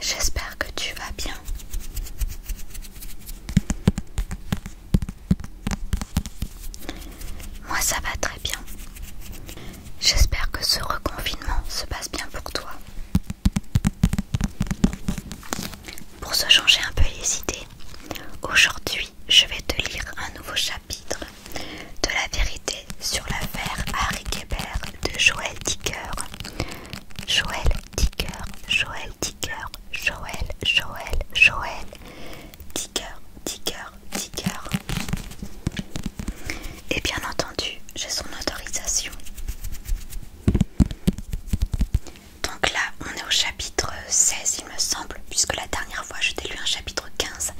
J'espère que tu vas bien. Moi ça va très bien. J'espère que ce reconfinement se passe bien pour toi. Pour se changer un peu les idées, aujourd'hui je vais te lire un nouveau chapitre de la vérité sur l'affaire Harry Gebert de Joël Dicker. Joël Dicker, Joël Dicker, Joël, Joël, Joël. Dicker, Dicker, Dicker. Et bien entendu, j'ai son autorisation. Donc là, on est au chapitre 16, il me semble, puisque la dernière fois, je t'ai lu un chapitre 15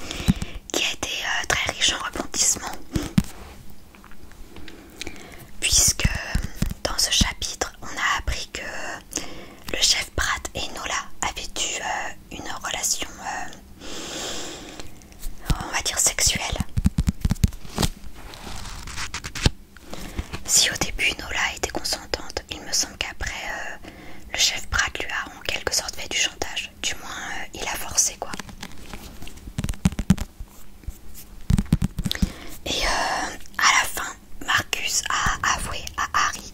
qui a été euh, très riche en rebondissements. Puisque dans ce chapitre, on a appris que le chef Pratt et Nola avaient eu euh, une relation, euh, on va dire, sexuelle. Si au début Nola était consentante, il me semble qu'après euh, le chef Pratt lui a en quelque sorte fait du chantage. Du moins, il a forcé quoi. Et euh, à la fin, Marcus a avoué à Harry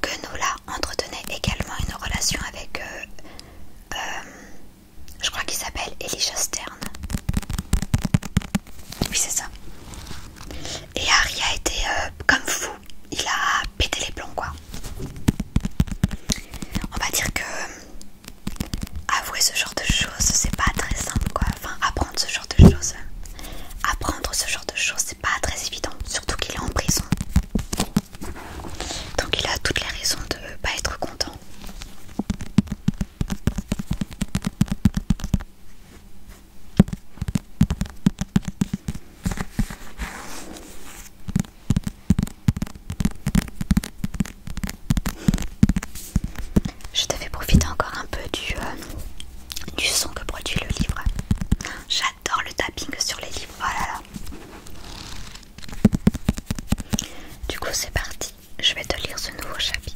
que Nola entretenait également une relation avec, euh, euh, je crois qu'il s'appelle Elisha Stern. Oui, c'est ça. Et Harry a été comme fou, il a pété les plombs quoi. On va dire que avouer ce genre de choses, c'est pas très simple quoi. Enfin, apprendre ce genre de choses, apprendre ce genre de choses, c'est pas très évident, surtout qu'il est en prison. Donc, il a toutes les raisons de ne pas être content. Je te fais profiter encore un peu euh, du, son que produit le livre. J'adore le tapping sur les livres. Voilà. Oh du coup, c'est parti. Je vais te lire ce nouveau chapitre.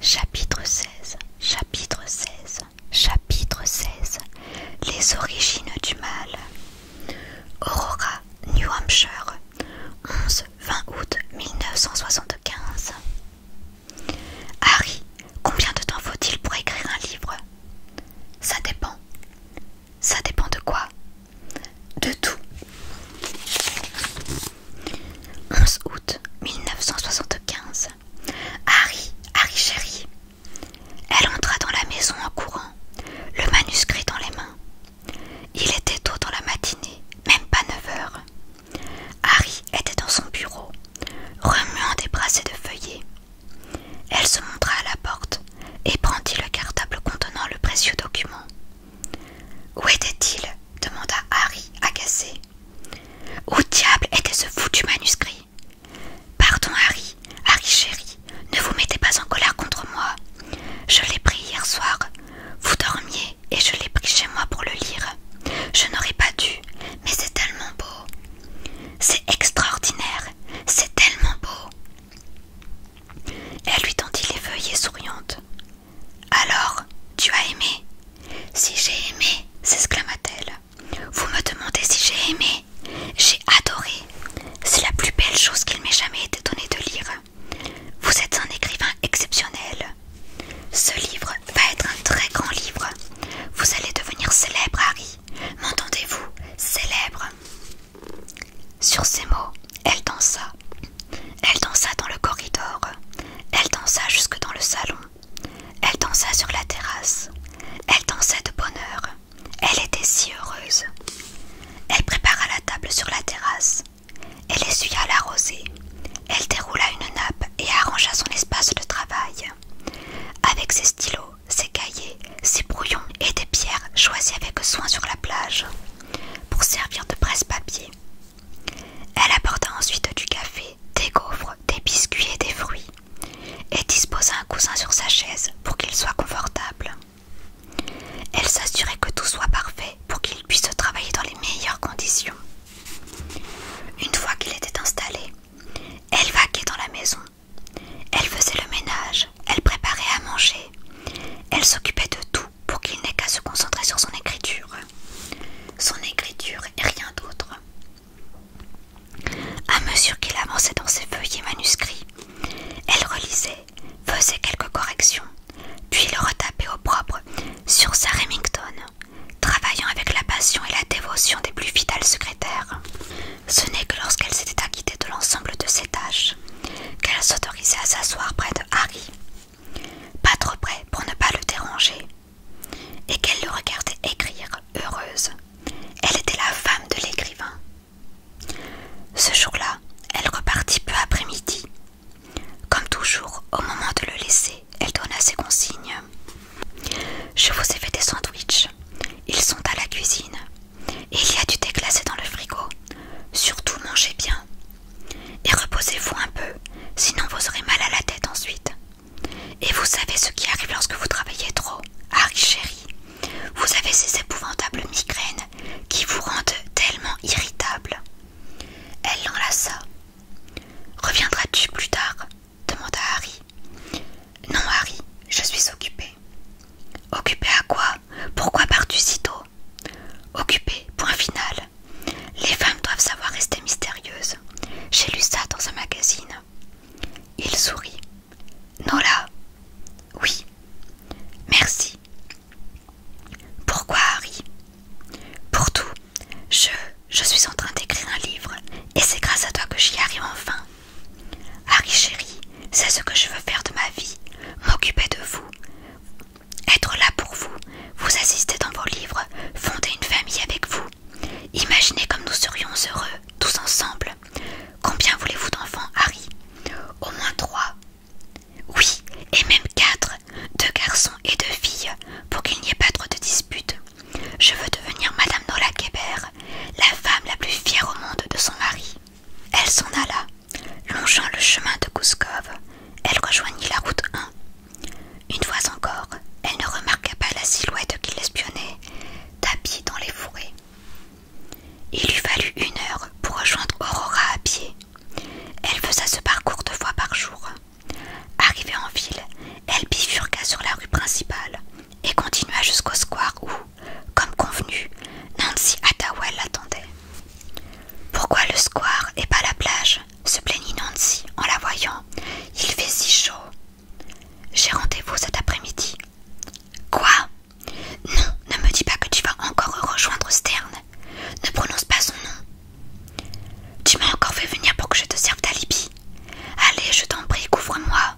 Chapitre 16 Chapitre 16 Chapitre 16 Les origines du mal Aurora, New Hampshire 11-20 août 1975 Harry Combien de temps faut-il pour écrire un livre Ça dépend. Ça dépend de quoi De tout. 11 août 1975. Harry, Harry chéri. Elle entra dans la maison en courant, le manuscrit dans les mains. Il était tôt dans la matinée, même pas 9 heures. Harry était dans son bureau, remuant des brassées de feuillets. Elle se montra à la porte et prendit le cartable contenant le précieux document. Où était-il demanda Harry, agacé. Où diable était ce foutu manuscrit Pardon, Harry, Harry chéri, ne vous mettez pas en colère contre moi. Je l'ai pris hier soir. Vous dormiez et je l'ai pris chez moi pour le lire. Je n'aurais pas dû, mais c'est tellement beau. C'est extraordinaire, c'est tellement beau. Elle lui tendit les et souriante Alors, tu as aimé Si j'ai aimé, s'exclama-t-elle. Vous me demandez si j'ai aimé J'ai adoré. C'est la plus belle chose qu'il m'ait jamais été donnée de lire. Vous êtes un écrivain exceptionnel. Ce livre va être un très grand livre. Vous allez devenir célèbre, Harry. M'entendez-vous, célèbre Sur ces mots, elle dansa. Elle dansa dans le corridor. Elle dansa jusque dans le salon. Elle dansa sur la terrasse. Elle dansait de bonheur Elle était si heureuse. Elle prépara la table sur la terrasse. Elle essuya la rosée. Elle déroula une nappe et arrangea son espace de travail. Avec ses stylos, ses cahiers, ses brouillons et des pierres choisies avec soin sur la plage pour servir de presse-papier. Elle apporta ensuite du café, des gaufres, des biscuits et des fruits et disposa un coussin sur sa chaise pour qu'il soit confortable. Elle s'assurait que tout soit parfait pour qu'il puisse travailler dans les meilleures conditions. Une fois qu'il était installé, elle vaquait dans la maison elle faisait le ménage, elle préparait à manger, elle s'occupait de tout pour qu'il n'ait qu'à se concentrer sur son écriture. Son écriture et rien d'autre. À mesure qu'il avançait dans ses feuillets manuscrits, elle relisait, faisait quelques corrections, puis le retapait au propre sur sa Remington, travaillant avec la passion et la dévotion des plus fidèles secrétaires. Ce n'est que lorsqu'elle s'était acquittée de l'ensemble de ses tâches qu'elle s'autorisait à s'asseoir près de Harry, pas trop près pour ne pas le déranger, et qu'elle le regardait écrire, heureuse. Elle était la femme de l'écrivain. Ce jour-là, elle repartit peu après midi. Comme toujours, au moment de le laisser, elle donna ses consignes. Je vous ai fait des sandwichs. Ils sont à la cuisine. Et il y a du thé glacé dans le frigo. Surtout mangez bien. Et reposez-vous un peu, sinon vous aurez mal à la tête ensuite. Et vous savez ce qui arrive lorsque vous travaillez trop, Harry ah chéri. Vous avez ces épouvantables migraines qui vous rendent tellement irritable. Elle l'enlaça. Reviendras-tu plus tard demanda Harry. Non, Harry, je suis occupée Occupée à quoi Pourquoi pars-tu si tôt Occupé, point final. Les femmes doivent savoir rester mystérieuses. J'ai lu ça dans un magazine. Il sourit. Nola Oui. Merci. Pourquoi, Harry Pour tout. Je, je suis en train d'écrire un livre et c'est grâce à toi que j'y arrive enfin. Harry chéri, c'est ce que je veux faire de ma vie, m'occuper de vous, être là pour vous, vous assister dans vos livres, fonder une famille avec vous. Imaginez comme nous serions heureux, tous ensemble. Combien voulez-vous d'enfants, Harry Au moins trois. Oui, et même quatre, deux garçons et deux filles, pour qu'il n'y ait pas trop de disputes. Je veux devenir Madame Nola Kébert, la femme la plus fière au monde de son mari. Elle s'en alla, longeant le chemin de Kouskov. Elle rejoignit la route 1. Une fois encore, elle ne remarqua pas la silhouette qui l'espionnait, tapie dans les fourrés. Il lui fallut une heure pour rejoindre Aurora à pied. Elle faisait ce parcours deux fois par jour. Arrivée en ville, elle bifurqua sur la rue principale et continua jusqu'au square où, comme convenu, Nancy Attawell l'attendait. Pourquoi le square et pas la plage se plaignit Nancy en la voyant. Il fait si chaud. J'ai rendez-vous cet après-midi. Quoi Non, ne me dis pas que tu vas encore rejoindre Stern. Ne prononce pas son nom. Tu m'as encore fait venir pour que je te serve d'alibi. Allez, je t'en prie, couvre-moi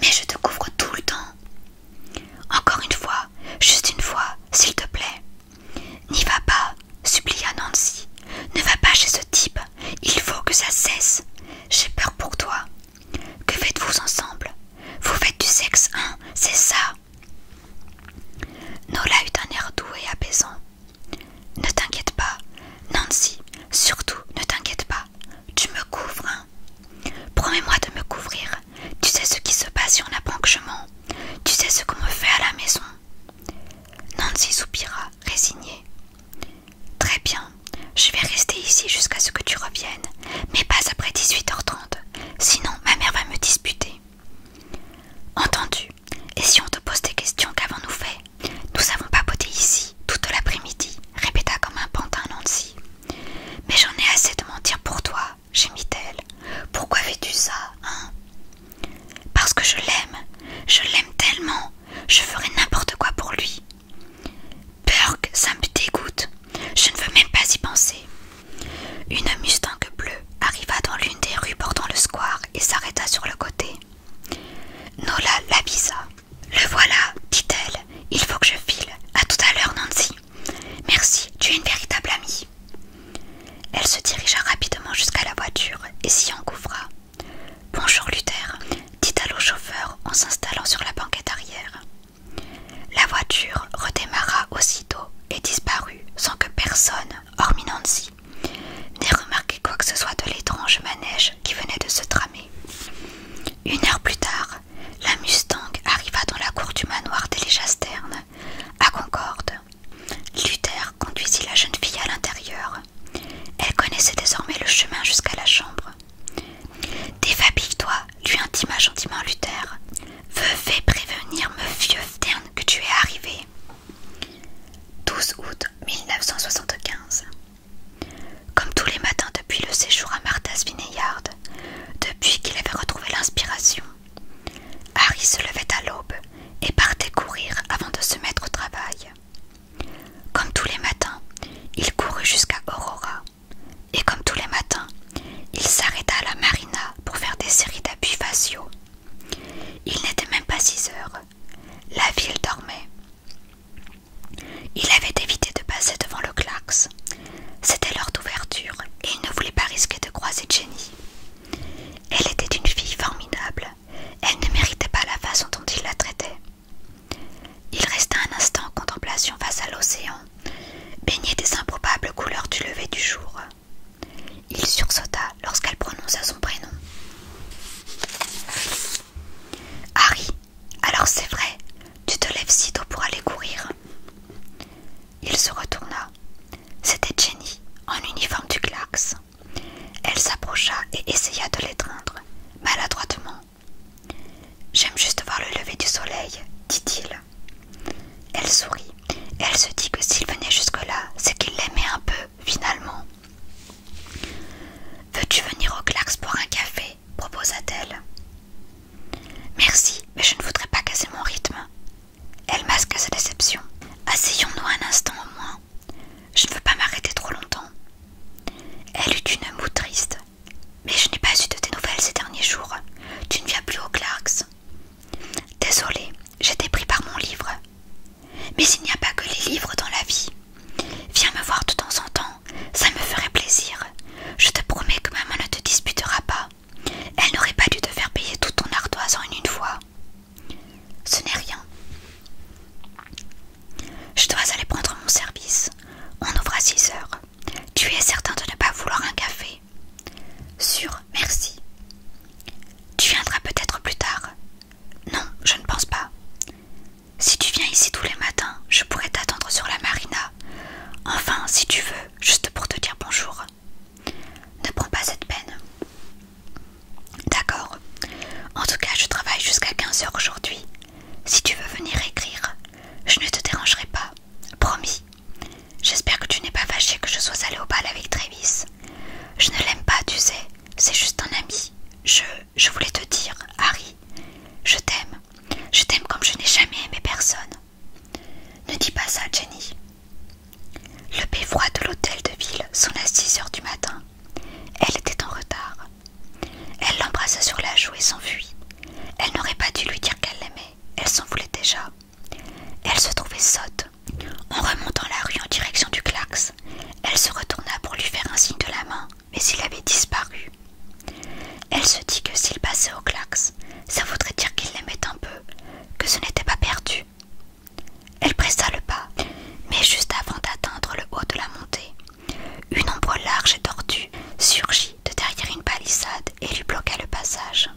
mais je te couvre tout le temps. Encore une fois, juste une fois, s'il te plaît. N'y va pas, supplia Nancy. Ne va pas chez ce type. Il faut que ça cesse. J'ai peur pour toi. Que faites-vous ensemble Vous faites du sexe, hein C'est ça. Nola eut un air doux et apaisant. Ne t'inquiète pas, Nancy, surtout ne t'inquiète pas. Tu me couvres, hein. Promets-moi de me couvrir. Tu sais ce qui se passe si on apprend que je mens. Tu sais ce qu'on me fait à la maison. Nancy soupira, résignée. Très bien, je vais rester ici jusqu'à ce que tu reviennes, mais pas après 18h30, sinon ma mère va me disputer. Entendu, et si on te pose des questions, qu'avons-nous fait Nous avons papoté ici toute l'après-midi, répéta comme un pantin Nancy. Mais j'en ai assez de mentir pour toi, gémit-elle. Pourquoi fais-tu ça, hein Parce que je l'aime, je l'aime tellement, je ferai n'importe quoi pour lui. Burke, ça me dégoûte, je ne veux même pas y penser. Une Mustang bleue arriva dans l'une des rues bordant le square et s'arrêta sur le côté. Nola l'avisa. Le voilà, dit-elle. Il faut que je file. À tout à l'heure, Nancy. Merci, tu es une véritable amie. Elle se dirigea rapidement jusqu'à la voiture et s'y engouffra. Bonjour, Luther, dit-elle au chauffeur en s'installant sur la banquette arrière. La voiture redémarra aussitôt et disparut sans que personne, hormis Nancy, n'ait remarqué quoi que ce soit de l'étrange manège qui venait de se tramer. Une heure plus tard, la Mustang arriva dans la cour du manoir des Légasternes, à Concorde. Luther conduisit la jeune fille à l'intérieur. Elle connaissait désormais le chemin jusqu'à la chambre. Défabille-toi, lui intima gentiment Luther. Veux fais prévenir me vieux Stern que tu es arrivé. 12 août 1975 comme tous les matins depuis le séjour à Martha's Vineyard, depuis qu'il avait retrouvé l'inspiration, Harry se levait à l'aube et partait courir avant de se mettre au travail. Comme tous les matins, il courut jusqu'à Aurora, et comme tous les matins, il s'arrêta à la marina pour faire des séries d'appuis faciaux. Il n'était même pas six heures. La ville dormait, il avait évité de passer devant le Clax. C'était l'heure d'ouverture et il ne voulait pas risquer de croiser Jenny. Elle était une fille formidable. Elle ne méritait pas la façon dont il la traitait. Il resta un instant en contemplation face à l'océan, baigné des improbables couleurs du lever du jour. Il sursauta lorsqu'elle prononça son prénom. Harry, alors c'est vrai, tu te lèves si tôt pour aller courir. Il se retourna. C'était Jenny, en uniforme du Glax. Elle s'approcha et essaya de l'étreindre, maladroitement. J'aime juste voir le lever du soleil, dit-il. Elle sourit. elle se dit que s'il venait jusque-là, c'est qu'il l'aimait un peu, finalement. Veux-tu venir au Glax pour un café proposa-t-elle. Merci, mais je ne voudrais pas casser mon rythme. Elle masque sa déception. Asseyons-nous un instant au moins. Je ne veux pas m'arrêter trop longtemps. Elle eut une moue triste. Mais je n'ai pas eu de tes nouvelles ces derniers jours. Tu ne viens plus au Clarks. Désolée, j'étais pris par mon livre. Mais il n'y a pas que les livres dans la vie. Viens me voir de temps en temps, ça me ferait plaisir. Je te promets que maman ne te disputera pas. Elle n'aurait pas dû te faire payer tout ton ardoise en une fois. Ce n'est rien. Je dois aller prendre mon service. On ouvre à 6 heures. Tu es certain de ne pas vouloir un café Sûr, merci. Tu viendras peut-être plus tard. Non, je ne pense pas. Si tu viens ici tous les matins, je pourrais t'attendre sur la marina. Enfin, si tu veux, juste pour te dire bonjour. Ne prends pas cette peine. D'accord. En tout cas, je travaille jusqu'à 15 heures aujourd'hui. Si tu veux venir écrire, je ne te dérangerai pas. Promis. J'espère que tu n'es pas fâché que je sois allée au bal avec Travis. Je ne l'aime pas, tu sais. C'est juste un ami. Je. Je voulais te dire, Harry. Je t'aime. Je t'aime comme je n'ai jamais aimé personne. Ne dis pas ça, Jenny. Le beffroi de l'hôtel de ville sonna six heures du matin. Elle était en retard. Elle l'embrassa sur la joue et s'enfuit. Elle n'aurait pas dû lui dire qu'elle l'aimait. Elle s'en voulait déjà. Elle se trouvait sotte. En remontant la rue en direction du Clax, elle se retourna pour lui faire un signe de la main mais il avait disparu. Elle se dit que s'il passait au klax, ça voudrait dire qu'il l'aimait un peu, que ce n'était pas perdu. Elle pressa le pas, mais juste avant d'atteindre le haut de la montée, une ombre large et tordue surgit de derrière une palissade et lui bloqua le passage.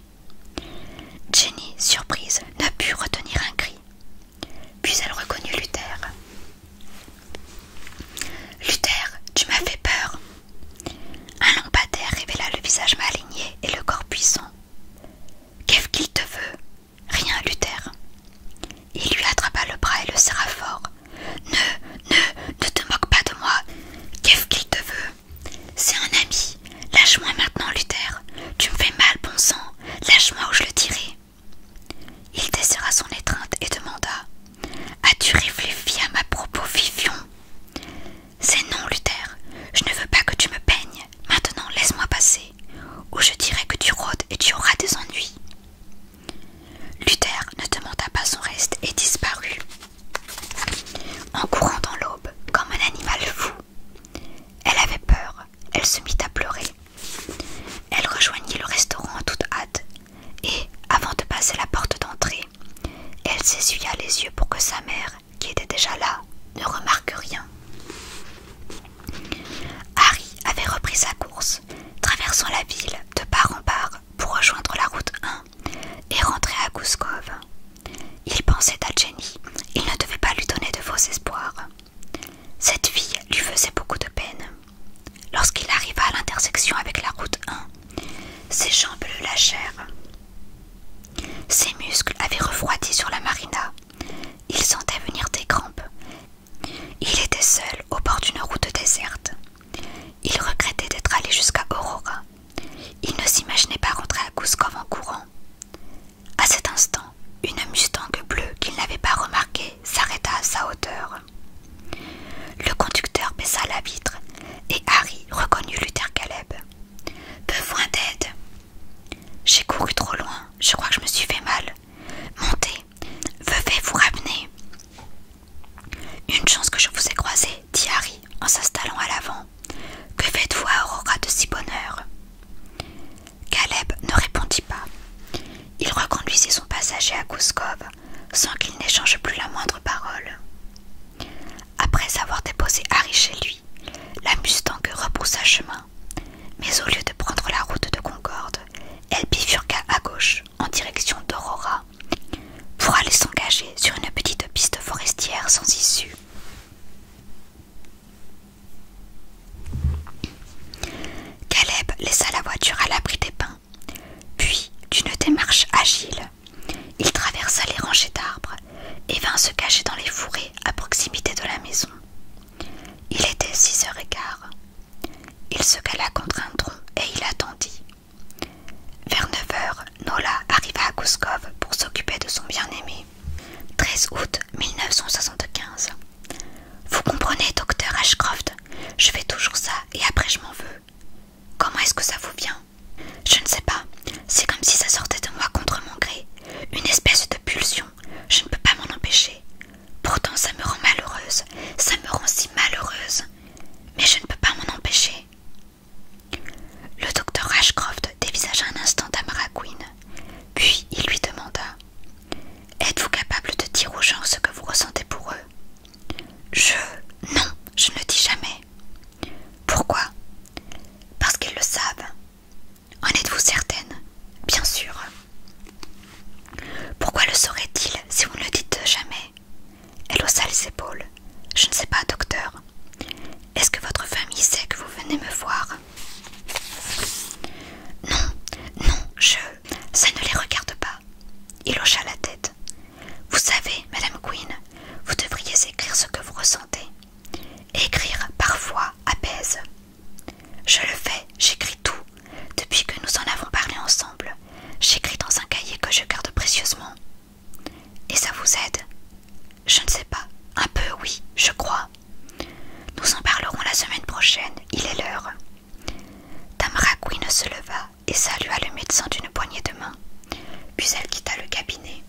Jenny, surprise, ne put retenir un cri. Puis elle reconnut Luther. Luther, tu m'as fait peur. Un long d'air révéla le visage maligné et le corps puissant. Qu'est-ce qu'il te veut Rien, Luther. Il lui attrapa le bras et le serra fort. Ne, ne, ne te moque pas de moi. Qu'est-ce qu'il te veut C'est un ami. Lâche-moi maintenant, Luther. Tu me fais mal, bon sang. Lâche-moi ou je le tirerai Il desserra son étreinte et demanda As-tu réfléchi à ma propos, Vivion C'est non, Luther. Je ne veux pas que tu me peignes. Maintenant, laisse-moi passer, ou je dirai que tu rôdes et tu auras des ennuis. Luther ne demanda pas son reste et disparut, en courant dans l'aube comme un animal fou. Elle avait peur, elle se mit à pleurer. Elle rejoignit le restaurant en toute hâte et, avant de passer la porte d'entrée, elle s'essuya les yeux pour que sa mère, qui était déjà là, ne remarque rien. Harry avait repris sa course, traversant la ville de part en part pour rejoindre la route 1 et rentrer à Gouskov. Il pensait à Jenny, il ne devait pas lui donner de faux espoirs. Cette fille lui faisait beaucoup de peine. Lorsqu'il arriva à l'intersection avec la route 1, ses jambes le lâchèrent. Ses muscles avaient refroidi sur la marina. Il sentait venir des crampes. Il était seul au bord d'une route déserte. Il regrettait d'être allé jusqu'à Aurora. Il ne s'imaginait pas rentrer à Kouskov en courant. À cet instant, une Mustang bleue qu'il n'avait pas remarquée s'arrêta à sa hauteur. Le conducteur baissa la vitre et Harry reconnut Luther Caleb. Besoin d'aide. J'ai couru trop loin, je crois que je me suis fait mal. Montez, veuvez vous ramener. Une chance que je vous ai croisé, dit Harry en s'installant à l'avant. Que faites-vous à Aurora de si bonne heure Caleb ne répondit pas. Il reconduisit son passager à Kouskov, sans qu'il n'échange plus la moindre parole. Après avoir déposé Harry chez lui, la Mustang repoussa chemin, mais au lieu de prendre la route de Concorde, elle bifurqua à gauche en direction d'Aurora pour aller s'engager sur une petite piste forestière sans issue. Caleb laissa la voiture à l'abri des pins, puis, d'une démarche agile, il traversa les rangées d'arbres et vint se cacher dans les fourrés à proximité de la maison. Il était six heures et quart. Il se cala contre un tronc et il attendit. Vers neuf heures, Nola arriva à Guskov pour s'occuper de son bien-aimé. 13 août 1975. Vous comprenez, docteur Ashcroft, je fais toujours ça et après je m'en veux. Comment est-ce que ça vous vient Je ne sais pas. C'est comme si ça sortait de moi contre mon gré. Une espèce de pulsion. Je ne peux pas m'en empêcher. Pourtant, ça me rend malheureuse. Ça me rend si malheureuse. Mais je ne peux pas m'en empêcher. Le docteur Ashcroft dévisagea un instant Tamara Puis il lui demanda Êtes-vous capable de dire aux gens ce que vous ressentez pour eux je... Non, je ne le dis jamais. Pourquoi Parce qu'ils le savent. En êtes-vous certaine Bien sûr. Pourquoi le saurait-il si vous ne le dites jamais Elle haussa les épaules. Je ne sais pas, docteur. Est-ce que votre famille sait que vous venez me voir Non, non, je... Ça ne les regarde pas. Il hocha la tête. Vous savez, Madame Queen, vous devriez écrire ce que vous ressentez. Écrire parfois apaise. Je le fais, j'écris tout. Depuis que nous en avons parlé ensemble, j'écris dans un cahier que je garde précieusement. Et ça vous aide Je ne sais pas. Un peu, oui, je crois. Nous en parlerons la semaine prochaine, il est l'heure. Tamara Queen se leva et salua le médecin d'une poignée de main, puis elle quitta le cabinet.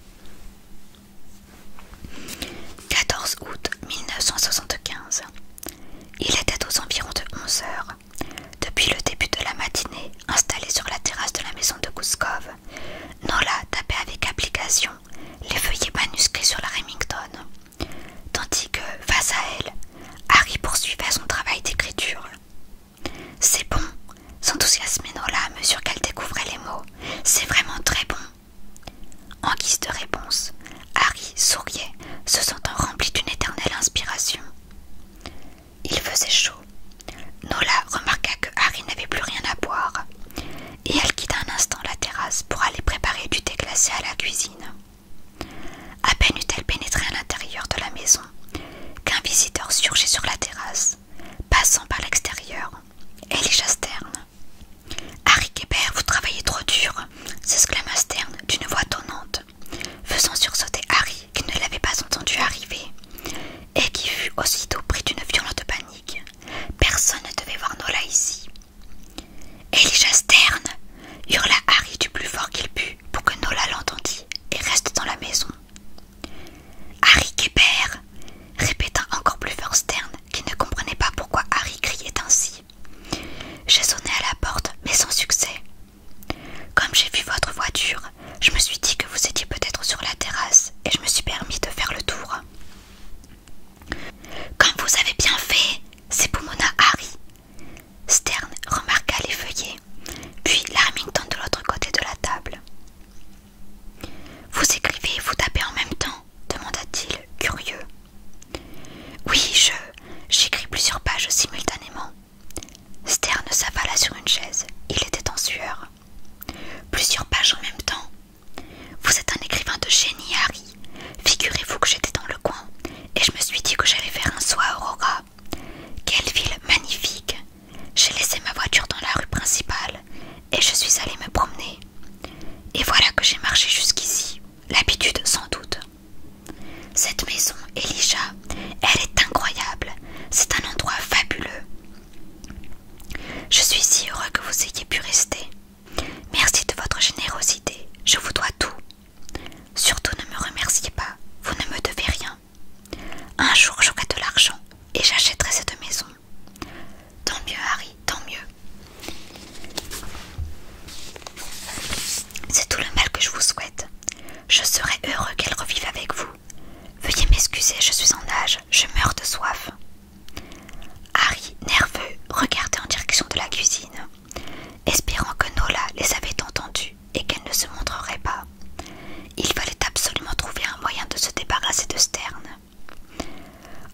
14 août 1975. Il était aux environs de 11 heures. Depuis le début de la matinée, installée sur la terrasse de la maison de Kouskov, Nola tapait avec application les feuillets manuscrits sur la Remington, tandis que, face à elle, Harry poursuivait son travail d'écriture. C'est bon, s'enthousiasmait Nola à mesure qu'elle découvrait les mots. C'est vraiment très bon. En guise de réponse, Harry souriait, se sentant rempli d'une éternelle inspiration. Il faisait chaud. Nola remarqua que Harry n'avait plus rien à boire, et elle quitta un instant la terrasse pour aller préparer du thé glacé à la cuisine. À peine eut-elle pénétré à l'intérieur de la maison qu'un visiteur surgit sur la terrasse, passant par l'extérieur et Stern. Harry Kébert, vous travaillez trop dur s'exclama Stern d'une voix tonnante, faisant sursauter Harry qui ne l'avait pas entendu arriver et qui fut aussitôt pris d'une violente panique. Personne ne devait voir Nola ici. Elijah Stern, hurla Harry du plus fort qu'il put pour que Nola l'entendît et reste dans la maison. Harry Québert répéta encore plus fort Stern, qui ne comprenait pas pourquoi Harry criait ainsi. J'ai sonné à la porte, mais sans succès. Comme j'ai vu votre voiture, je me suis dit que vous étiez peut-être sur la terrasse et je me suis permis de faire le tour. Comme vous avez bien fait, c'est Harry. Stern remarqua les feuillets puis l'Armington de l'autre côté de la table. Vous écrivez et vous tapez en même temps demanda-t-il, curieux. Oui, je. J'écris plusieurs pages simultanément. Stern s'avala sur une chaise. Il était en sueur. Plusieurs pages en même temps. Vous êtes un écrivain de génie, Harry. Figurez-vous que j'étais dans le coin et je me suis dit que j'allais faire un soir Aurora. Quelle ville magnifique J'ai laissé ma voiture dans la rue principale et je suis allée me promener. Et voilà que j'ai marché jusqu'ici, l'habitude sans doute. Cette maison, Elijah, elle est incroyable, c'est un endroit fabuleux. Je suis si heureux que vous ayez pu rester. Merci de votre générosité, je vous dois tout. Surtout ne me remerciez pas, vous ne me devez rien. Un jour j'aurai de l'argent et j'achèterai cette maison. Tant mieux Harry, tant mieux. C'est tout le mal que je vous souhaite. Je serai heureux qu'elle revive avec vous. Veuillez m'excuser, je suis en âge, je meurs de soif. Harry, nerveux, regardait en direction de la cuisine, espérant que Nola les avait entendus et qu'elle ne se montrerait pas. Il fallait absolument trouver un moyen de se débarrasser de Stern.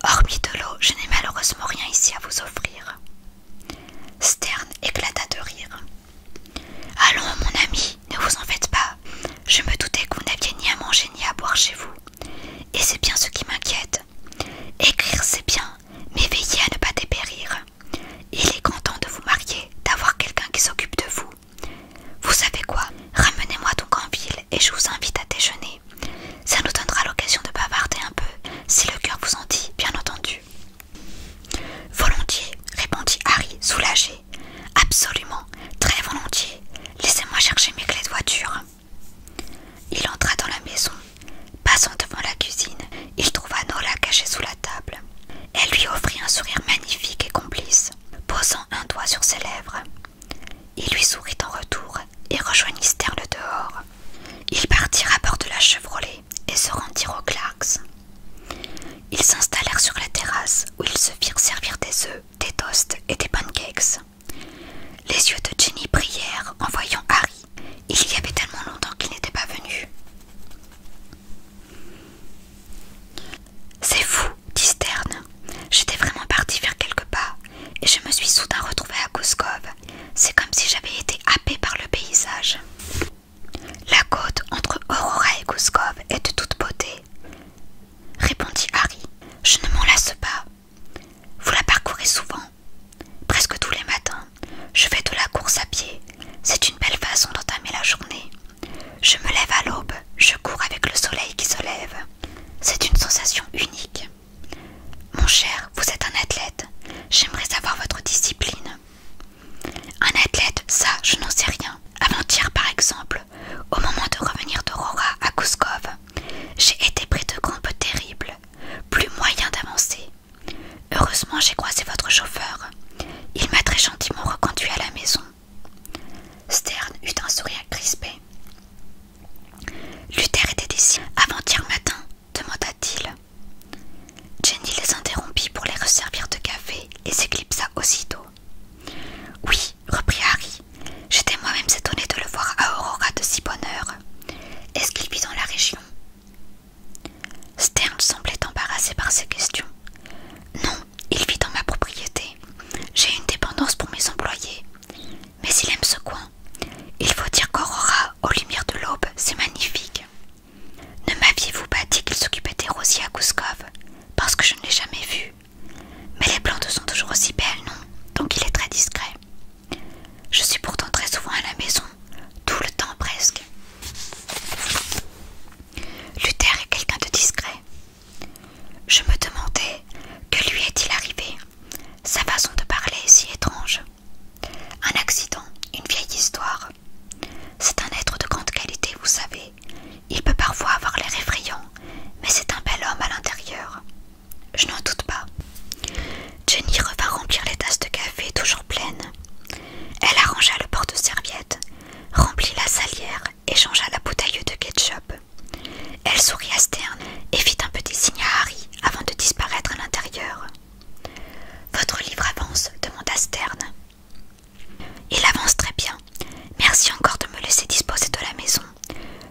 Hormis de l'eau, je n'ai malheureusement rien ici à vous offrir. Stern éclata de rire. Allons, mon ami, ne vous en faites pas. Je me doutais que vous n'aviez ni à manger ni à boire chez vous. Et c'est bien ce qui m'inquiète. Écrire, c'est bien, mais veillez à ne pas dépérir. Il est content de vous marier, d'avoir quelqu'un qui s'occupe de vous. Vous savez quoi Ramenez-moi donc en ville et je vous invite à déjeuner. Ça nous donnera l'occasion de bavarder un peu, si le cœur vous en dit, bien entendu. Volontiers, répondit Harry, soulagé. Absolument, très volontiers. Laissez-moi chercher mes clés de voiture. Il entra dans la maison. Passant devant la cuisine, il trouva Nola cachée sous la table. Elle lui offrit un sourire magnifique et complice posant un doigt sur ses lèvres. Il lui sourit en retour et rejoignit Sterle dehors. Ils partirent à bord de la Chevrolet et se rendirent aux Clarks. Ils s'installèrent sur la terrasse où ils se firent servir des œufs, des toasts et des pancakes. Les yeux de Jenny prièrent en voyant Harry. Il y avait tellement longtemps qu'il n'était pas venu. C'est fou, dit Stern. J'étais vraiment partie vers quelques pas, et je me suis soudain retrouvée à Kouskov. C'est comme si j'avais été happée par le paysage. La côte entre Aurora et Kouskov est de toute beauté, répondit Harry. Je ne m'en lasse pas. Vous la parcourez souvent, presque tous les matins. Je fais de la course à pied. C'est une belle façon d'entamer la journée. Je me lève à l'aube, je cours avec le soleil qui se lève. C'est une sensation unique. Mon cher, vous êtes un athlète. J'aimerais savoir votre discipline. Un athlète, ça, je n'en sais rien. Avant-hier, par exemple, au moment de revenir d'Aurora à Kouskov, j'ai été pris de crampes terribles, plus moyen d'avancer. Heureusement, j'ai croisé votre chauffeur. Il m'a très gentiment reconduit à la maison. Stern eut un sourire crispé. Luther était ici avant-hier matin, demanda-t-il. Jenny les interrompit pour les resservir de café et s'éclipsa aussitôt. Oui, reprit Harry, j'étais moi-même étonné de le voir à Aurora de si bonne heure. Est-ce qu'il vit dans la région Stern semblait embarrassé par ces questions. Non, il vit dans ma propriété. J'ai une dépendance pour mes employés. Mais il aime ce coin. Il faut dire qu'Aurora, aux lumières de l'aube, c'est magnifique. Ne m'aviez-vous pas dit qu'il s'occupait des rosiers à Kouskov Parce que je ne l'ai jamais vu. Mais les plantes sont toujours aussi belles, non Donc il est très discret. Je suis pourtant très souvent à la maison, tout le temps presque. Luther est quelqu'un de discret. Je me demandais que lui est-il arrivé, sa façon de parler est si étrange. Un accident, une vieille histoire. C'est un être de grande qualité, vous savez. Il peut parfois avoir l'air effrayant, mais c'est un bel homme à l'intérieur. Je n'en doute pas. Jenny revint remplir les tasses de café toujours pleines. Elle arrangea le porte-serviette, remplit la salière échangea la bouteille de ketchup. Elle sourit à Stern et fit un petit signe à Harry avant de disparaître à l'intérieur. Votre livre avance demanda Stern. Il avance très bien. Merci encore de me laisser disposer de la maison.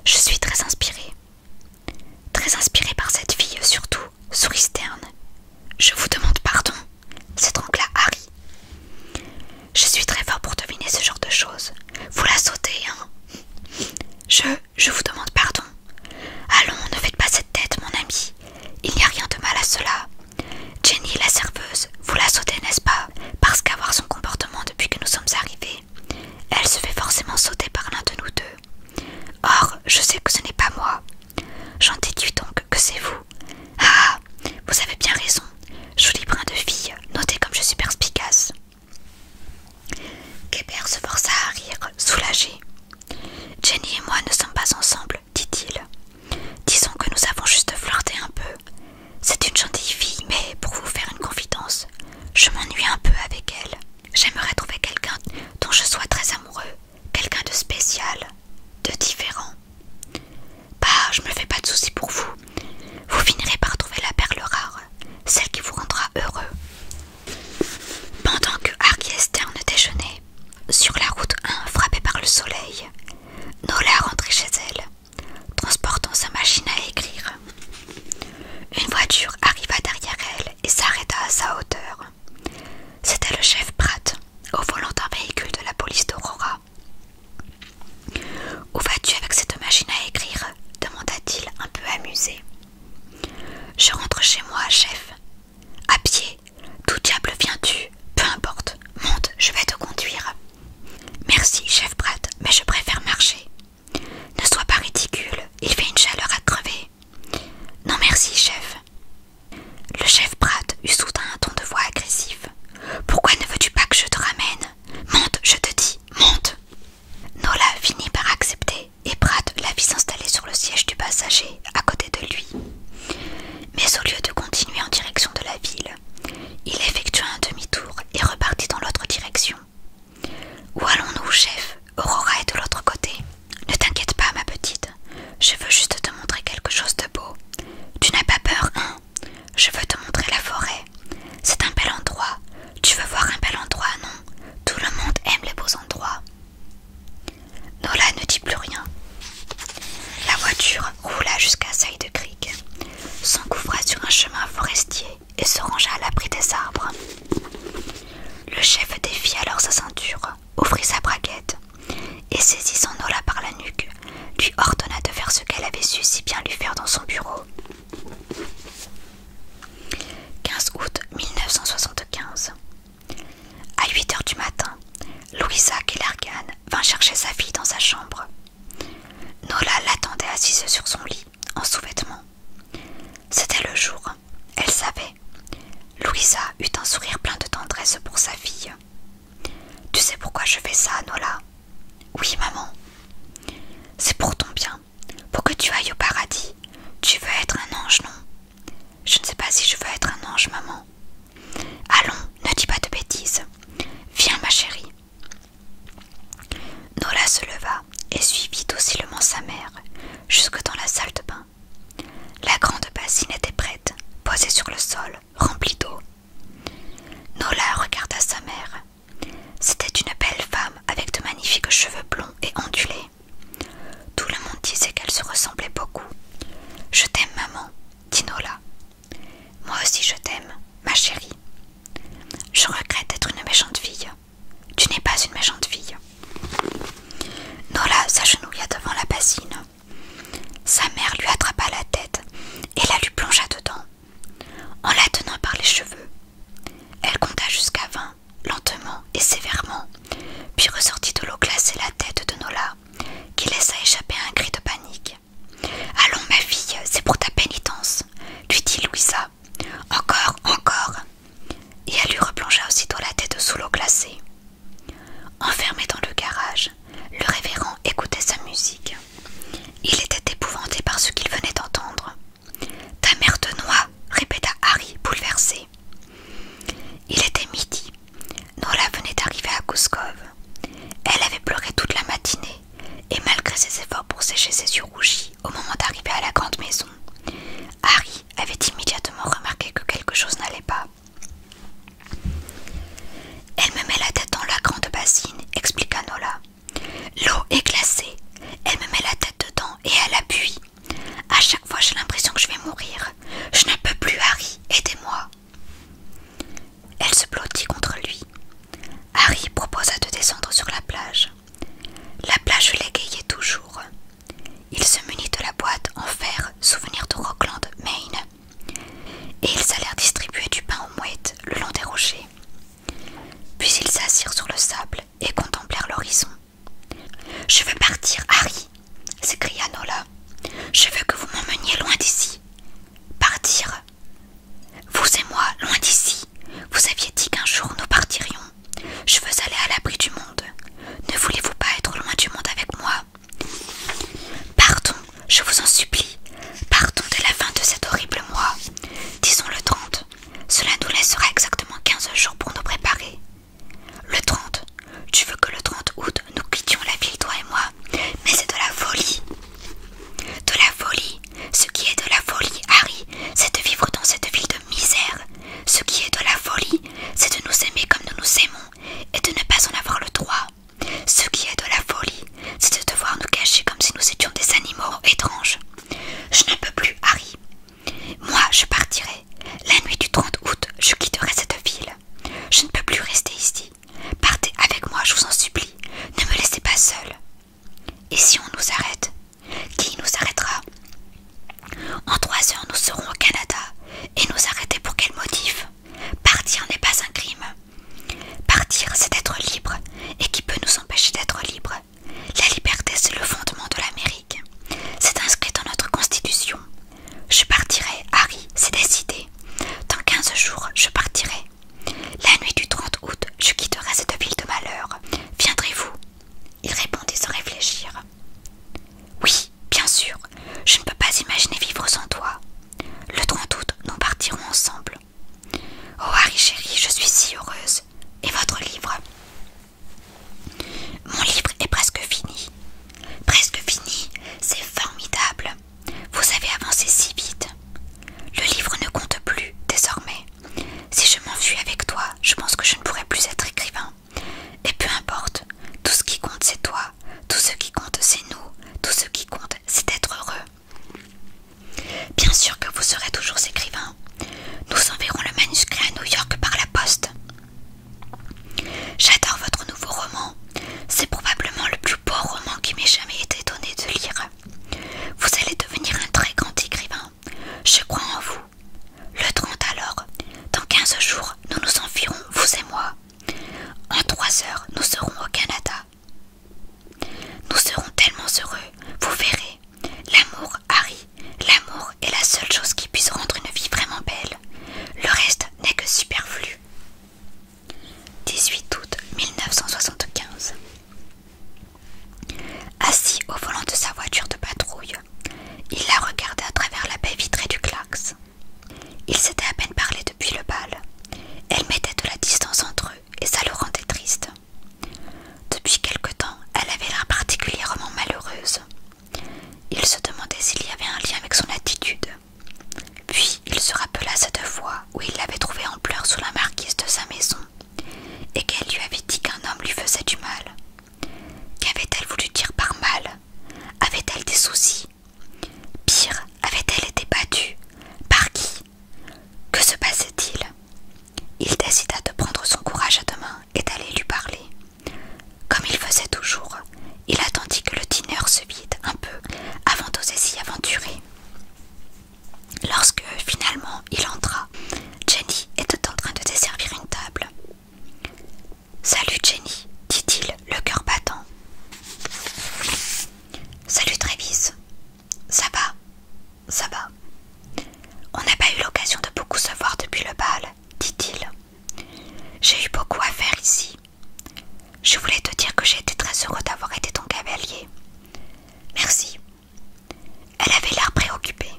Je suis très inspirée. Très inspirée par cette fille, surtout, sourit Stern. Je vous demande pardon, c'est donc là Harry. Je suis très fort pour deviner ce genre de choses. Vous la sautez, hein Je, je vous demande pardon. Allons, ne faites pas cette tête, mon ami. Il n'y a rien de mal à cela. Jenny, la serveuse, vous la sautez, n'est-ce pas Parce qu'à voir son comportement depuis que nous sommes arrivés, elle se fait forcément sauter par l'un de nous deux. Or, je sais que ce n'est pas moi. J'en déduis donc que c'est vous. Ah Vous avez bien raison. Joli brin de fille, notez comme je suis perspicace. se força à rire, soulagé. Jenny et moi ne sommes pas ensemble, dit-il. Disons que nous avons juste flirté un peu. C'est une gentille fille, mais pour vous faire une confidence, je m'ennuie un peu avec elle. J'aimerais trouver quelqu'un dont je sois très amoureux, quelqu'un de spécial, de différent. Bah, je me fais pas de soucis pour vous. Vous finirez par trouver la perle rare, celle qui vous rendra heureux. Pendant que Harry et Stern déjeunaient, sur la route 1 frappée par le soleil, Nola rentrait chez elle, transportant sa machine à écrire. Une voiture arriva derrière elle et s'arrêta à sa hauteur. C'était le chef Pratt, au volant d'un véhicule de la police d'Aurora. Où vas-tu avec cette machine à écrire demanda-t-il un peu amusé. Je rentre chez moi, chef. À pied. D'où diable viens-tu Peu importe. Monte, je vais te conduire. Merci, chef Pratt, mais je préfère marcher. Ne sois pas ridicule, il fait une chaleur à crever. Non merci, chef. Le chef Pratt eut soudain un ton de voix agressif. Pourquoi ne veux-tu pas que je te ramène Monte, je te dis, monte Nola finit par accepter et Pratt la fit s'installer sur le siège du passager à côté de lui. Mais au lieu de continuer en direction de la ville, il effectua un demi-tour et repartit dans l'autre direction. Où allons-nous, chef Aurora est de l'autre côté. Ne t'inquiète pas, ma petite. Je veux juste te montrer quelque chose de beau. Tu n'as pas peur, hein je veux te montrer la forêt. C'est un bel endroit. Tu veux voir un bel endroit, non Tout le monde aime les beaux endroits. Nola ne dit plus rien. La voiture roula jusqu'à saille de Creek, s'encouvra sur un chemin forestier et se rangea à l'abri des arbres. Le chef défit alors sa ceinture, ouvrit sa braquette et saisit son Nola par la nuque, lui ordonna de faire ce qu'elle avait su si bien lui faire dans son bureau. 15 août 1975. À 8 heures du matin, Louisa Kellergan vint chercher sa fille dans sa chambre. Nola l'attendait assise sur son lit, en sous-vêtements. C'était le jour, elle savait. Louisa eut un sourire plein de tendresse pour sa fille. Tu sais pourquoi je fais ça, Nola Oui, maman. C'est pour ton bien, pour que tu ailles au paradis. Tu veux être un ange, non Je ne sais pas si je veux être un ange, maman. Allons, ne dis pas de bêtises. Viens, ma chérie. Nola se leva et suivit docilement sa mère jusque dans la salle de bain. La grande bassine était prête, posée sur le sol, remplie d'eau, Nola regarda sa mère. C'était une belle femme avec de magnifiques cheveux blonds et ondulés. Tout le monde disait qu'elle se ressemblait beaucoup. Je t'aime, maman, dit Nola. Moi aussi je t'aime, ma chérie. Je regrette d'être une méchante fille. Tu n'es pas une méchante fille. Nola s'agenouilla devant la bassine. Sa mère lui attrapa la tête et la lui plongea dedans. En la tenant par les cheveux, elle compta jusqu'à vingt, lentement et sévèrement, puis ressortit de l'eau glacée la tête de Nola, qui laissa échapper un cri de panique. Allons, ma fille, c'est pour ta pénitence, lui dit Louisa. Encore, encore. Et elle lui replongea aussitôt la tête sous l'eau glacée. Enfermée dans le garage, le révérend écoutait sa musique. Il était épouvanté par ce qu'il venait d'entendre. Ta mère te noie, répéta Harry, bouleversé. Il était midi. Nola venait d'arriver à Kouskov. Elle avait pleuré toute la matinée, et malgré ses efforts pour sécher ses yeux rougis au moment d'arriver à la grande maison, Harry avait immédiatement remarqué que quelque chose n'allait pas. Elle me met la tête dans la grande bassine, expliqua Nola. L'eau est glacée. Elle me met la tête dedans et elle appuie. À chaque fois, j'ai l'impression que je vais mourir. Je ne peux plus, Harry. Aidez-moi. Elle se blottit contre lui. Harry proposa de descendre sur la plage. La plage l'égayait toujours. Il se munit de la boîte en fer, souvenir de Rockland, Maine, et ils allèrent distribuer du pain aux mouettes le long des rochers. Puis ils s'assirent sur le sable et contemplèrent l'horizon. Je veux partir, Harry, s'écria Nola. Je veux que vous m'emmeniez loin d'ici. Partir. Vous et moi, loin d'ici. Vous aviez dit qu'un jour nous partirions. Je veux aller à l'abri du monde. Ne voulez-vous pas être loin du monde avec moi Partons, je vous en supplie, partons de la fin de cet horrible mois. Disons le 30. Cela nous laissera exactement 15 jours pour nous préparer. Le 30. Tu veux que le 30 août nous quittions la ville, toi et moi Mais c'est de la folie. De la folie. Ce qui est de la folie, Harry, c'est de vivre dans cette ville de misère. Ce qui est de la folie, c'est de nous aimer comme nous nous aimons et de ne pas en avoir le droit. Ce qui est de la folie, c'est de devoir nous cacher comme si nous étions des animaux étranges. Je ne peux plus, Harry. Moi, je partirai. La nuit du 30 août, je quitterai cette ville. Je ne peux plus rester ici. Partez avec moi, je vous en supplie. Ne me laissez pas seule. Et si on nous arrête Qui nous arrêtera En trois heures, nous serons au Canada. Et nous arrêter pour quel motif Partir n'est pas un crime. Partir, c'est être libre, et qui peut nous empêcher d'être libre La liberté, c'est le fondement de l'Amérique. C'est inscrit dans notre Constitution. Je partirai, Harry, c'est décidé. Dans 15 jours, je partirai. La nuit du 30 août, je quitterai cette ville de malheur. Viendrez-vous Il répondit sans réfléchir. Oui, bien sûr. Je ne peux pas imaginer vivre sans toi. Le 30 août, nous partirons ensemble. Oh Harry chéri, je suis si heureuse. Et votre livre Mon livre est presque fini. Presque fini, c'est formidable. Vous avez avancé si vite. Le livre ne compte plus désormais. Si je m'enfuis avec toi, je pense que je ne pourrai plus être écrivain. Et peu importe, tout ce qui compte c'est toi, tout ce qui compte c'est nous, tout ce qui compte c'est être heureux. Bien sûr que vous serez toujours écrivain. Nous enverrons le manuscrit à New York par la poste. J'adore votre nouveau roman. C'est probablement le plus beau roman qui m'ait jamais été donné de lire. Vous allez devenir un très grand écrivain. Je crois en vous. Le 30 alors, dans 15 jours, nous nous environs, vous et moi. En 3 heures, nous serons au Canada. Nous serons tellement heureux, vous verrez. L'amour, Harry, l'amour est la seule chose qui puisse rendre une vie vraiment belle. Le reste n'est que superflu. 18 août 1975 Assis au volant de sa voiture de patrouille, il la regardait à travers la baie vitrée du Clax. Ils s'étaient à peine parlé depuis le bal. Elle mettait de la distance entre eux et ça le rendait triste. Depuis quelque temps, elle avait l'air particulièrement malheureuse. Il se demandait s'il y avait un lien avec son attitude. Puis il se rappela cette fois où il l'avait trouvée en pleurs sous la marquise de sa maison et qu'elle lui avait dit qu'un homme lui faisait du mal. Qu'avait-elle voulu dire par mal Avait-elle des soucis Pire, avait-elle été battue Par qui que se passait-il Il décida de prendre son courage à deux mains et d'aller lui parler. Comme il faisait toujours, il attendit que le dîner se vide un peu avant d'oser s'y aventurer. Lorsque finalement il entra, Jenny était en train de desservir une table. Salut Jenny, dit-il, le cœur battant. Salut Travis, ça va, ça va. On n'a pas eu l'occasion de beaucoup se voir depuis le bal, dit-il. J'ai eu beaucoup à faire ici. Je voulais te dire que j'ai été très heureux d'avoir été ton cavalier. Merci. Elle avait l'air préoccupée.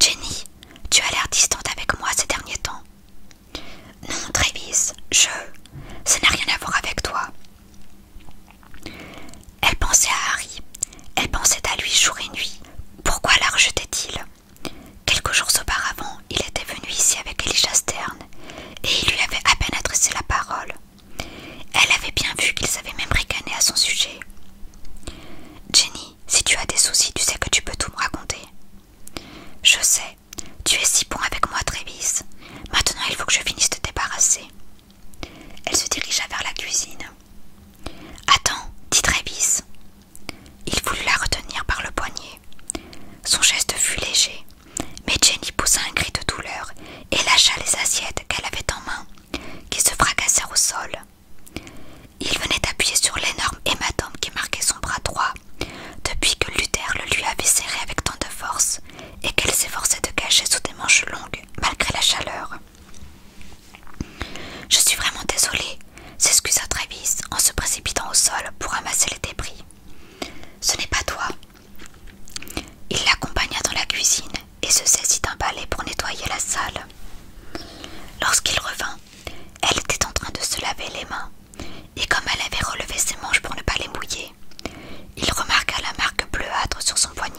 Jenny, tu as l'air distante avec moi ces derniers temps. Non, Travis, je. Ça n'a rien à voir avec toi. Elle pensait à Harry, elle pensait à lui jour et nuit. Pourquoi la rejetait-il Quelques jours auparavant, il était venu ici avec Elijah Stern, et il lui avait à peine adressé la parole. Elle avait bien vu qu'il savait même ricaner à son sujet. Jenny, si tu as des soucis, tu sais que tu peux tout me raconter. Je sais, tu es si bon avec moi, Trévis. Maintenant, il faut que je finisse de te débarrasser. Elle se dirigea vers la cuisine. Attends, dit Travis. Il voulut la retenir par le poignet. Son geste fut léger, mais Jenny poussa un cri de douleur et lâcha les assiettes qu'elle avait en main, qui se fracassèrent au sol. Il venait d'appuyer sur l'énorme hématome qui marquait son bras droit, depuis que Luther le lui avait serré avec tant de force et qu'elle s'efforçait de cacher sous des manches longues malgré la chaleur. Je suis vraiment désolée, s'excusa Travis en se précipitant au sol pour ramasser les débris. Ce n'est pas toi. Il l'accompagna dans la cuisine et se saisit d'un balai pour nettoyer la salle. Lorsqu'il revint, elle était en train de se laver les mains, et comme elle avait relevé ses manches pour ne pas les mouiller, il remarqua la marque bleuâtre sur son poignet.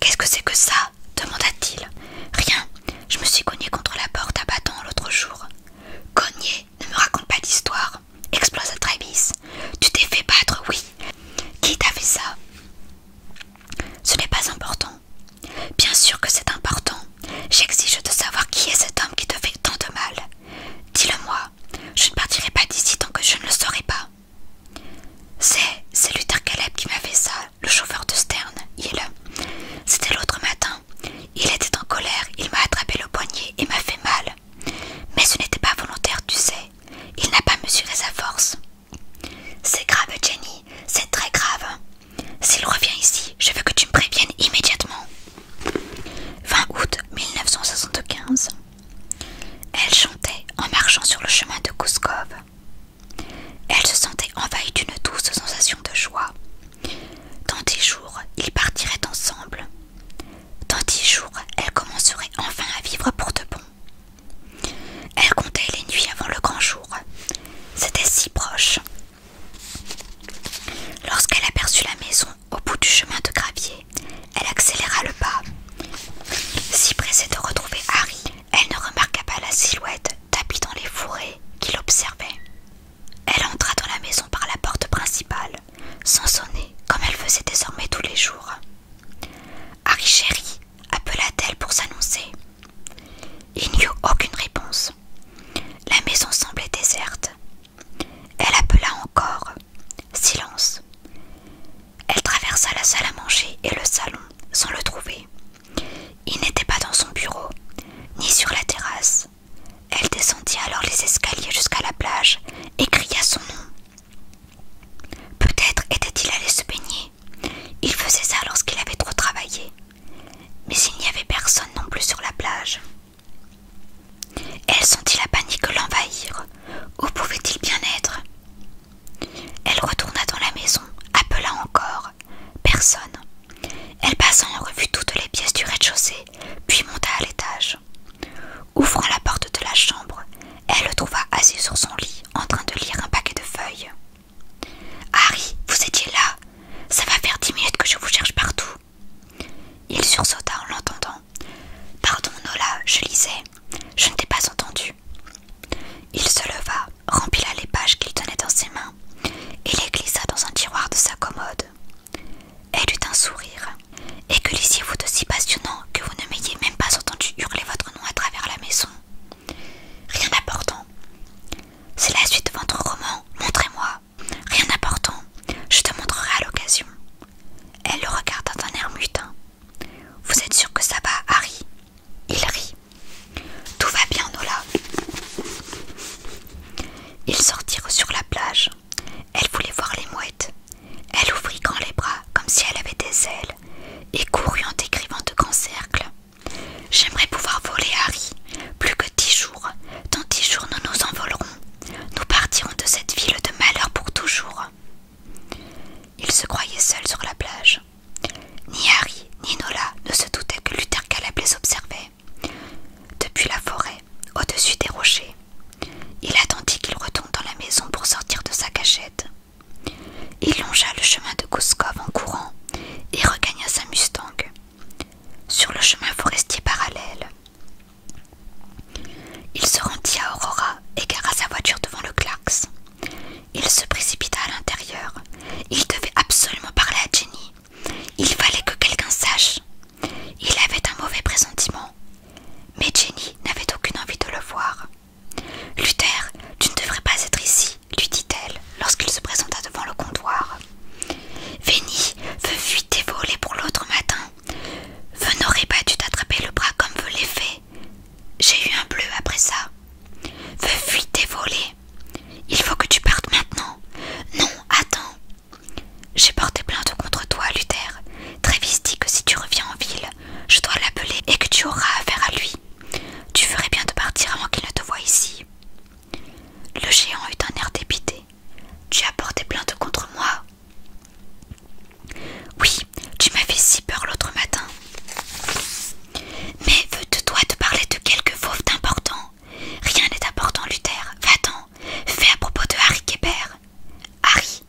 Qu'est-ce que c'est que ça demanda-t-il. Rien, je me suis cogné contre la porte à bâton l'autre jour. Cogné Ne me raconte pas d'histoire, explosa Travis. Tu t'es fait battre, oui. Qui t'a fait ça Ce n'est pas important. Bien sûr que c'est important. J'exige de savoir qui est cet homme qui te fait tant de mal. Dis-le-moi, je ne partirai pas d'ici tant que je ne le saurai pas. C'est, c'est Luther Caleb qui m'a fait ça, le chauffeur de Stern, il. C'était l'autre matin. Il était en colère, il m'a attrapé le poignet et m'a fait mal. Mais ce n'était pas volontaire, tu sais. Il n'a pas mesuré sa force. C'est grave, Jenny, c'est très grave. S'il revient ici, je veux que tu me préviennes immédiatement. 20 août 1975. Elle chantait en marchant sur le chemin de Kouskov. Elle se sentait envahie d'une douce sensation de joie. Dans dix jours, ils partiraient ensemble. Dans dix jours, elle commencerait enfin à vivre pour de bon. Elle comptait les nuits avant le grand jour. C'était si proche. Lorsqu'elle aperçut la maison au bout du chemin de gravier, elle accéléra le pas. Si pressée de retrouver Harry, elle ne remarqua pas la silhouette tapie dans les fourrés qui l'observait. Elle entra dans la maison par la porte principale, sans sonner comme elle faisait désormais tous les jours. Harry chéri, appela-t-elle pour s'annoncer. Il n'y eut aucune réponse. La maison semblait déserte, elle appela encore. Silence. Elle traversa la salle à manger et le salon sans le trouver. Il n'était pas dans son bureau, ni sur la terrasse. Elle descendit alors les escaliers jusqu'à la plage et cria son nom. Peut-être était-il allé se baigner. Il faisait ça lorsqu'il avait trop travaillé. Mais il n'y avait personne non plus sur la plage. Elle sentit la panique l'envahir. Où pouvait-il bien être Elle retourna dans la maison, appela encore. Personne. Elle passa en revue toutes les pièces du rez-de-chaussée, puis monta à l'étage. Ouvrant la porte de la chambre, elle le trouva assis sur son lit, en train de lire un paquet de feuilles. Harry, vous étiez là. Ça va faire dix minutes que je vous cherche partout. Il sursauta en l'entendant Pardon, Nola, je lisais. Je ne t'ai pas entendu. Il se leva, rempila les pages qu'il tenait dans ses mains et les glissa dans un tiroir de sa commode. Elle eut un sourire. Et que lisiez-vous de si passionnant que vous ne m'ayez même pas entendu hurler votre nom à travers la maison Rien d'important. C'est la suite de votre roman, montrez-moi. Rien d'important, je te montrerai à l'occasion. Elle le regarda d'un air mutin. Vous êtes sûr que ça va, Harry Il rit. Tout va bien, Nola. Ils sortirent sur la plage. Elle voulait voir les mouettes. Elle ouvrit grand les bras comme si elle avait des ailes et courut en décrivant de grands cercles. J'aimerais pouvoir voler, Harry. Plus que dix jours. Dans dix jours, nous nous envolerons. Nous partirons de cette ville de malheur pour toujours. Il se croyait seul sur la plage. Ni Harry ni Nola ne se doutaient que Luther Caleb les observait. Depuis la forêt, au-dessus des rochers, il attendit qu'il retombe dans la maison pour sortir de sa cachette. Il longea le chemin de Kouskov en courant et regagna sa Mustang. Sur le chemin forestier parallèle, il se rendit à Aurora, et gara sa voiture devant le Klax Il se précipita à l'intérieur. Il devait absolument parler à Jenny. Il fallait que quelqu'un sache. Il avait un mauvais pressentiment. Mais Jenny n'avait aucune envie de le voir. Luther, tu ne devrais pas être ici, lui dit-elle lorsqu'il se présenta devant le comptoir. Venny veut fuiter voler pour l'autre matin. « Vous n'aurait pas dû t'attraper le bras comme vous l'avez fait. J'ai eu un bleu après ça. veux fuyez tes volets. Il faut que tu partes maintenant. Non, attends. J'ai porté plainte contre toi, Luther. Trévis dit que si tu reviens en ville, je dois l'appeler et que tu auras affaire à lui. Tu ferais bien de partir avant qu'il ne te voie ici. Le géant eut un air dépité. Tu as porté plainte contre moi oui, tu m'as fait si peur l'autre matin. Mais veux-toi te parler de quelque fauve d'important Rien n'est important, Luther. Va-t'en. Fais à propos de Harry Kéber. Harry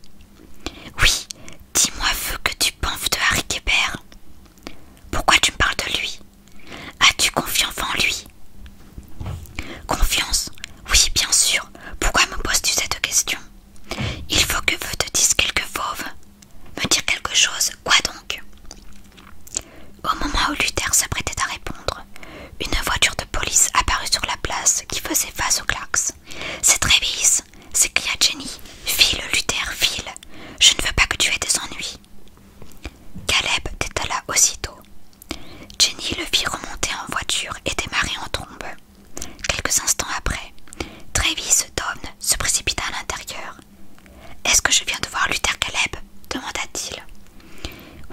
Oui, dis-moi, veux que tu penses de Harry Kéber Pourquoi tu me parles de lui As-tu confiance en lui Confiance Oui, bien sûr. Pourquoi me poses-tu cette question il faut que je te dise quelque fauve. Me dire quelque chose, quoi donc Au moment où Luther s'apprêtait à répondre, une voiture de police apparut sur la place qui faisait face au Clarks. C'est Trévis s'écria Jenny. File, Luther, file. Je ne veux pas que tu aies des ennuis. Caleb détala aussitôt. Jenny le fit remonter en voiture et démarrer en trombe. Quelques instants après, Travis Dom se précipita à l'intérieur. Est-ce que je viens de voir Luther Caleb demanda-t-il.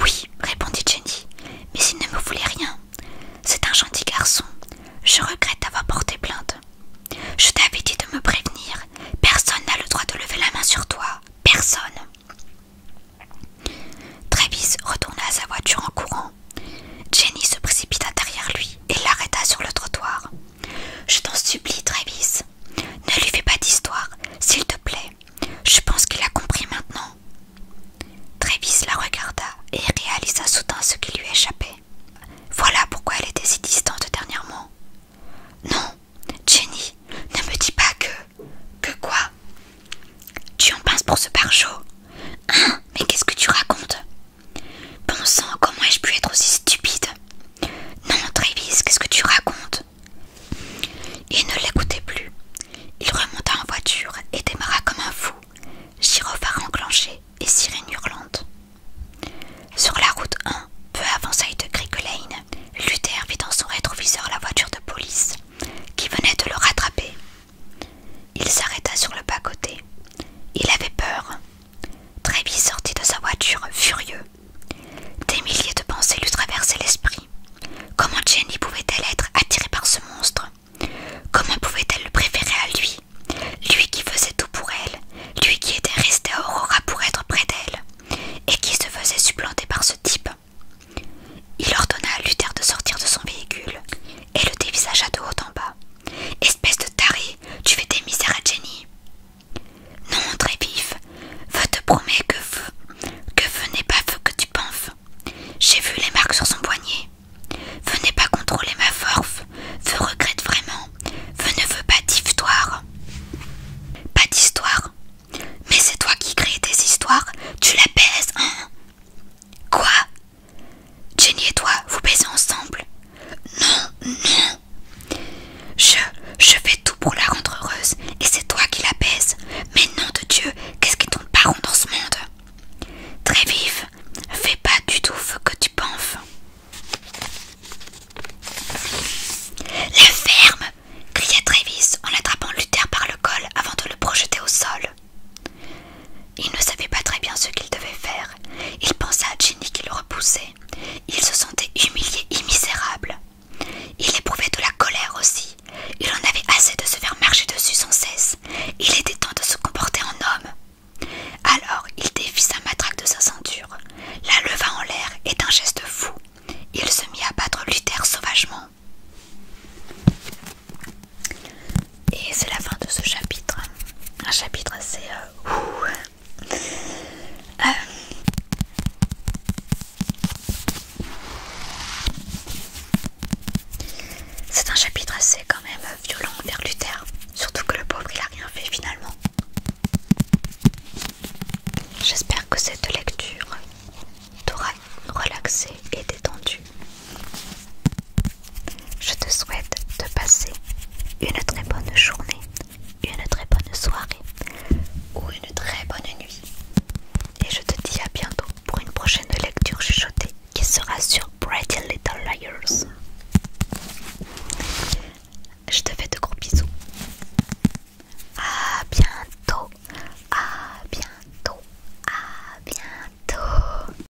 Oui, répondit Jenny, mais il ne me voulait rien. C'est un gentil garçon. Je regrette d'avoir porté plainte. Je t'avais dit de me prévenir. Personne n'a le droit de lever la main sur toi. Personne. Travis retourna à sa voiture en courant. Jenny se précipita derrière lui et l'arrêta sur le trottoir. Je t'en supplie, Travis. Ne lui fais pas d'histoire, s'il te plaît. Je pense qu'il a compris maintenant. Travis la regarda et réalisa soudain ce qui lui échappait. Voilà pourquoi elle était si distante dernièrement. Non, Jenny, ne me dis pas que. que quoi Tu en pinces pour ce pare Hein Mais qu'est-ce que tu racontes Pensant, comment ai-je pu être aussi stupide Non, Travis, qu'est-ce que tu racontes Il ne l'écoutait plus. Il remonta en voiture et démarra comme un fou, gyrophare enclenché et sirène hurlante. Sur la route 1, peu avant Sainte de Lane, Luther vit dans son rétroviseur la voiture de police qui venait de le rattraper il s'arrêta sur le bas-côté. Il avait peur. vite sortit de sa voiture, furieux. Des milliers de pensées lui traversaient l'esprit. Comment Jenny pouvait-elle être attirée par ce monstre Comment pouvait-elle le préférer à lui Lui qui faisait tout pour elle, lui qui était resté à Aurora pour être près d'elle, et qui se faisait supplanter par ce type. Il ordonna à Luther de sortir de son véhicule et le dévisagea de haut en bas. Espèce de taré, tu fais des misères à Jenny. Non, très vif, Veux te promet que feu, que veux n'est pas feu que tu penses. J'ai vu les marques sur son poignet. Veux n'est pas contrôler ma force. Veux regrette vraiment. Veu ne veux pas d'histoire. Pas d'histoire Mais c'est toi qui crée tes histoires, tu la pèses, hein Quoi Jenny et toi, vous baisez ensemble Non, non. Je, je fais tout pour la rendre heureuse et c'est toi qui la baise. Mais nom de Dieu, qu'est-ce qui tombe pas rond dans ce monde Très fais pas du tout ce que tu penses. La ferme cria Travis en attrapant Luther par le col avant de le projeter au sol. Il ne savait pas très bien ce qu'il devait faire. Il pensa à Jenny qui le repoussait. Il se sentait humilié et misérable. Il éprouvait de la colère aussi. Il en avait assez de se faire marcher dessus sans cesse. Il était temps de se comporter en homme. Alors il défit sa matraque de sa ceinture, la leva en l'air et d'un geste fou, il se mit à battre Luther sauvagement. Et c'est la fin de ce chapitre. Un chapitre assez... Euh, euh. c'est un chapitre assez quand même violent vers Luther. Surtout que le pauvre il a rien fait finalement. J'espère que cette lecture t'aura relaxé et détendu. Je te souhaite de passer une très bonne journée, une très bonne soirée ou une très bonne nuit. Et je te dis à bientôt pour une prochaine lecture chuchotée qui sera sur Bright Little Liars. Je te fais de gros bisous. A bientôt. À bientôt. À bientôt.